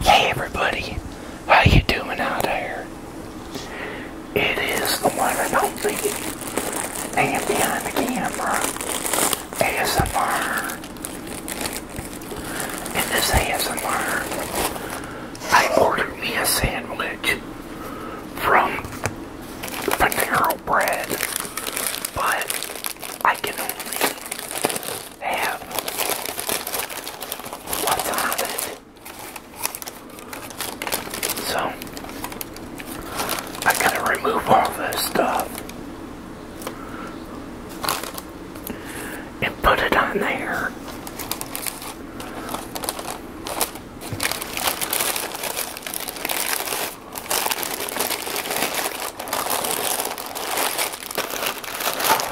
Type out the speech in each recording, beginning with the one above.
Hey everybody, how you doing out there? It is the one and only and behind the camera ASMR. In this ASMR, I ordered me a sandwich from Panero Bread, but I can only yeah. what's on it. So, I gotta remove all this stuff and put it on there.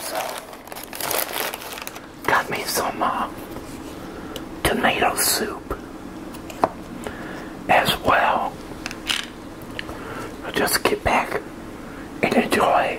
So, got me some uh, tomato soup as well. just get back and enjoy.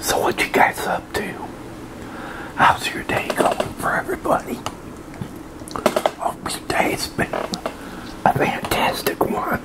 So what you guys up to? How's your day going for everybody? Hope oh, your day's been a fantastic one.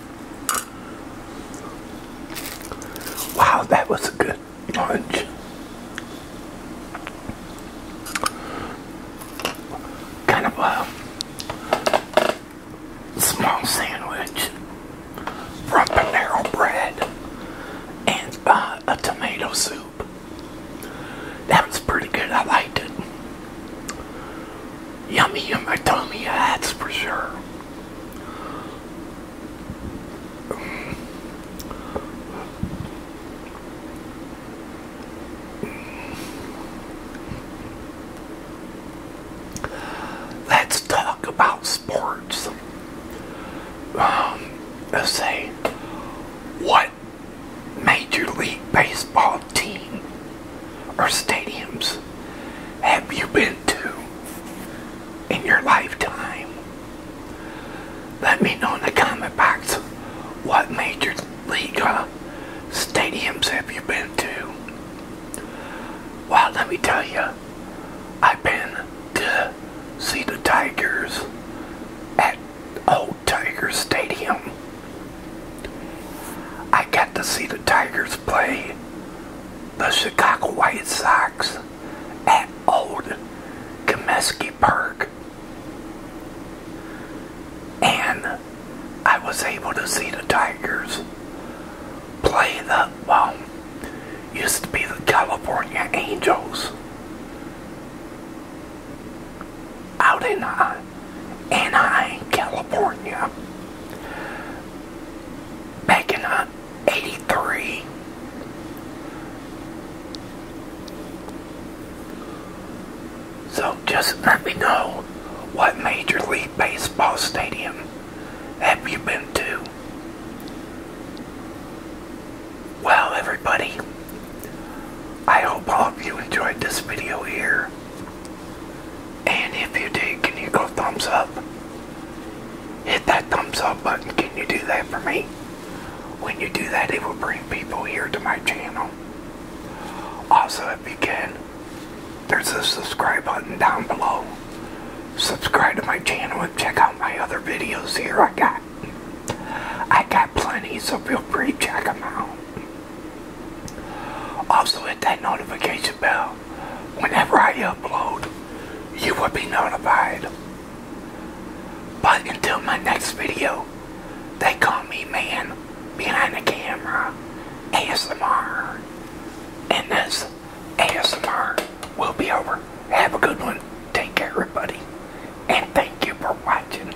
Wow, that was a good lunch. Kind of a small sandwich from Panera Bread and uh, a tomato soup. That was pretty good. I liked it. Yummy in my tummy, that's for sure. Let's talk about sports. Um, let's say, what Major League Baseball team or stadiums have you been to in your lifetime? Let me know in the comment box what major league uh, stadiums have you been to. Well, let me tell you, I've been to see the Tigers at Old Tiger Stadium I got to see the Tigers play the Chicago White Sox at Old Comiskey Park. And I was able to see the Tigers play the, well, used to be the California Angels out in uh, Anaheim, California. Back in uh, 83. So just let me know what Major League Baseball stadium have you been to? Well, everybody, I hope all of you enjoyed this video here. And if you do, can you go thumbs up? Hit that thumbs up button. Can you do that for me? When you do that, it will bring people here to my channel. Also, if you can, there's a subscribe button down below. Subscribe to my channel and check out my other videos here I got. I got plenty, so feel free to check them out. Also hit that notification bell. Whenever I upload, you will be notified. But until my next video, they call me man behind the camera ASMR. And this ASMR will be over. Have a good one. Take care, everybody. And thank you for watching.